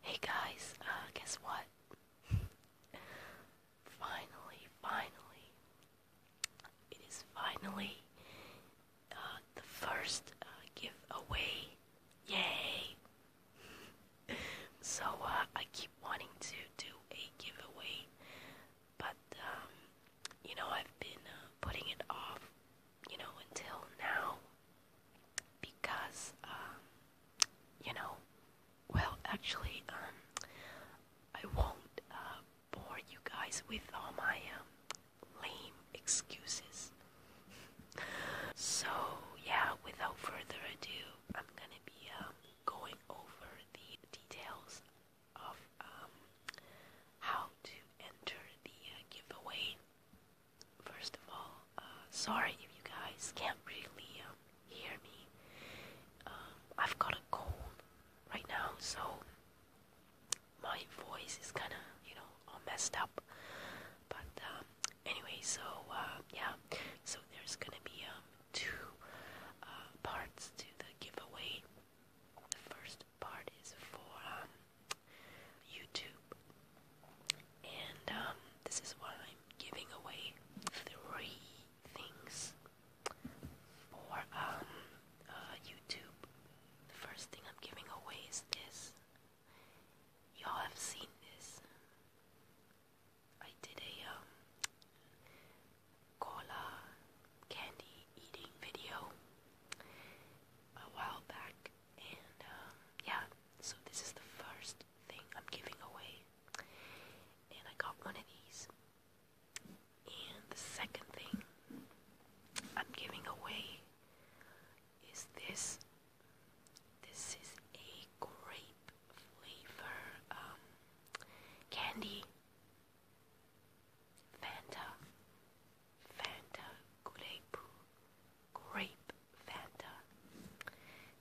Hey guys, uh, guess what? finally, finally, it is finally uh, the first uh, giveaway. Yay! so, uh, I keep wanting to do a giveaway, but, um, you know, I've been uh, putting it off, you know, until now because um, you know, well, actually, um, I won't uh, bore you guys with all my um, lame excuses. so yeah, without further ado, I'm gonna be going over the details of how to enter the uh, giveaway. First of all, uh, sorry if you guys can't really um, hear me. Um, I've got a cold right now, so my voice is kind of, you know, all messed up. But um, anyway, so uh, yeah, so there's gonna be two uh, parts to the giveaway. The first part is for YouTube. And um, this is why I'm giving away three things for um, uh, YouTube. The first thing I'm giving away is this. Y'all have seen this. I did a um, cola candy eating video a while back, and um, yeah, so this is the first thing I'm giving away. And I got one of these. And the second thing I'm giving away is this. This is a grape flavor um, candy. Fanta. Fanta grape. Grape Fanta.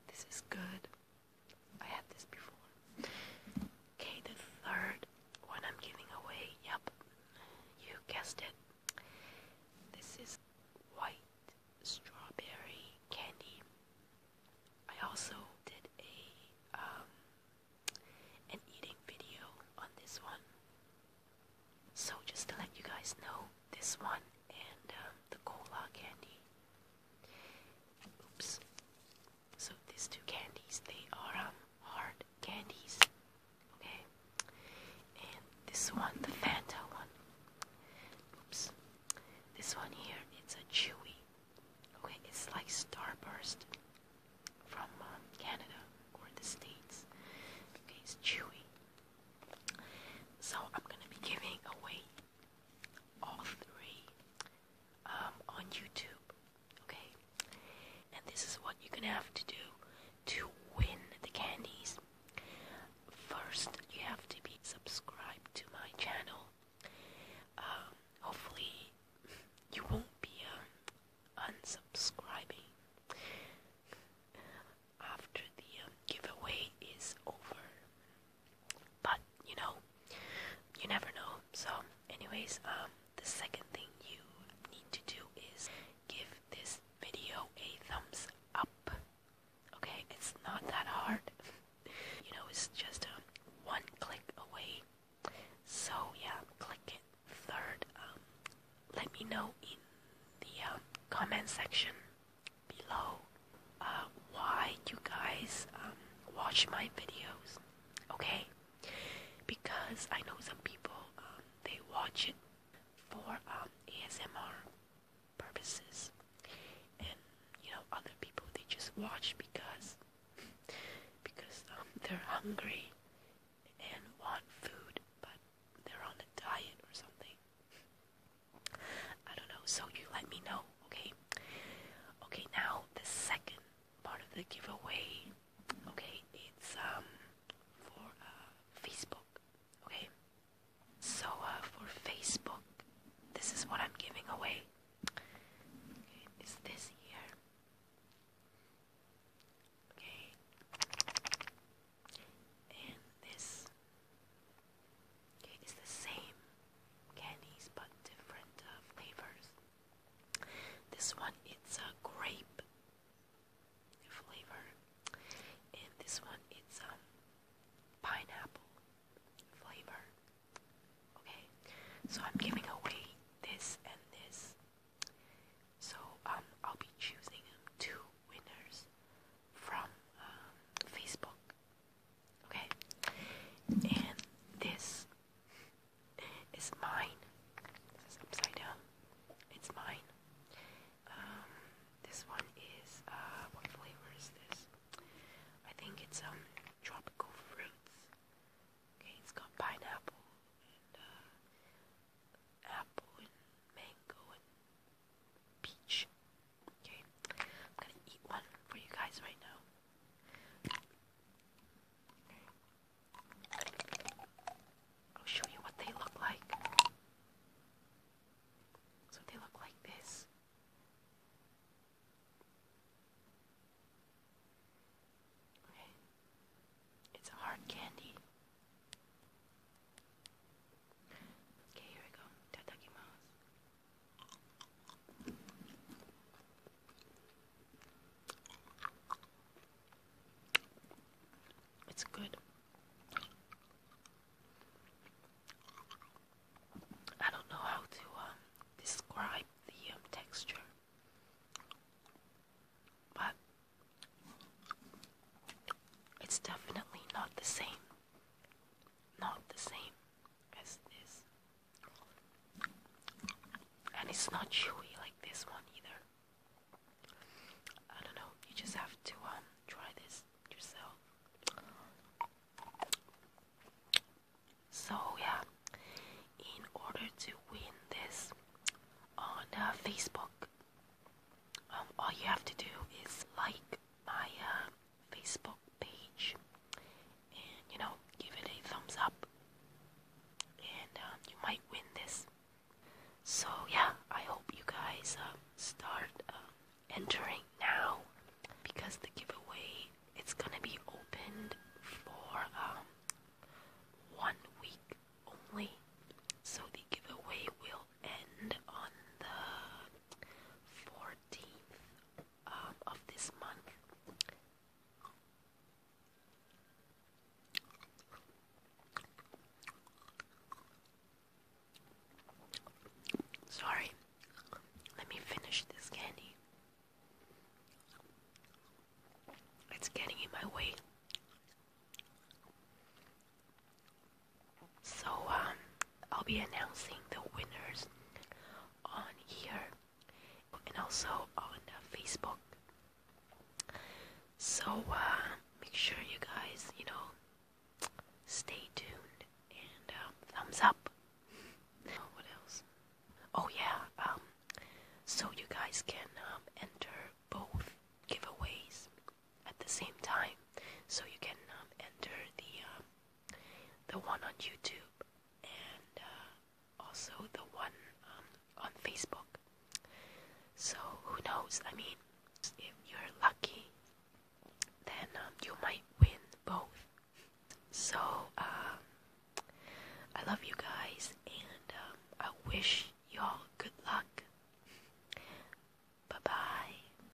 This is good. I had this before. Okay, the third one I'm giving away. Yep, you guessed it. This is white strawberry candy. I also did a um, an eating video on this one. So just to let you guys know, this one and um, the cola candy. Oops. So these two candies, they are um, hard candies. Okay. And this one, the Fanta one. Oops. This one here, it's a chewy. Okay, it's like Starburst from um, Canada or the States. Okay, it's chewy. So I'm gonna be giving away all three um, on YouTube, okay? And this is what you're gonna have to do to win the candies. First, you have to be subscribed to my channel. Um, hopefully, you won't be um, unsubscribing after the um, giveaway is over. But you know, you never know. So, anyways, um, the second thing you need to do is give this video a thumbs up. Okay, it's not that hard. you know, it's just um, one click away. So yeah, click it. Third, um, let me know in the um, comment section below uh, why you guys um, watch my videos, okay? Because I know some people um, they watch it for um, ASMR purposes, and you know other people they just watch because because um, they're hungry and want food, but they're on a diet or something. I don't know, so you let me know, okay? Okay, now the second part of the giveaway, okay, it's um for uh, Facebook, okay? So uh, for Facebook, this is what I'm giving away. Okay, is this here? Okay. And this okay, is the same candies but different uh, flavors. This one it's a grape flavor, and this one it's a um, pineapple flavor. Okay, so I'm giving away this and this. So um, I'll be choosing too winners from um, Facebook. Okay, and this is mine. This is upside down. It's mine. Um, this one is uh, what flavor is this? I think it's um tropical fruits. Okay, it's got pineapple and uh, apple and mango and peach. Okay, I'm gonna eat one for you guys right now. I'll show you what they look like. So they look like this. Okay, it's hard candy. Okay, here we go. It's good. I don't know how to um, describe the um, texture, but it's definitely not the same not the same as this. And it's not chewy like this one either. I don't know, you just have to um, try this yourself. So yeah, in order to win this on Facebook, um, all you have to do is like my uh, Facebook page and you know give it a thumbs up and um, you might win this so yeah i hope you guys uh, start uh, entering now because the giveaway it's gonna be opened for um, one week only so the giveaway will and on the 14th um, of this month. Sorry, let me finish this candy. It's getting in my way. So um, I'll be announcing the winners on here and also on uh, Facebook. So uh, make sure you guys, you know, stay tuned and um, thumbs up. what else? Oh yeah, um, so you guys can enter both giveaways at the same time. So you can enter the uh, the one on YouTube, and uh, also the one um, on Facebook. So who knows? I mean, if you're lucky, then um, you might win both. So uh, I love you guys, and um, I wish y'all good luck. Bye bye.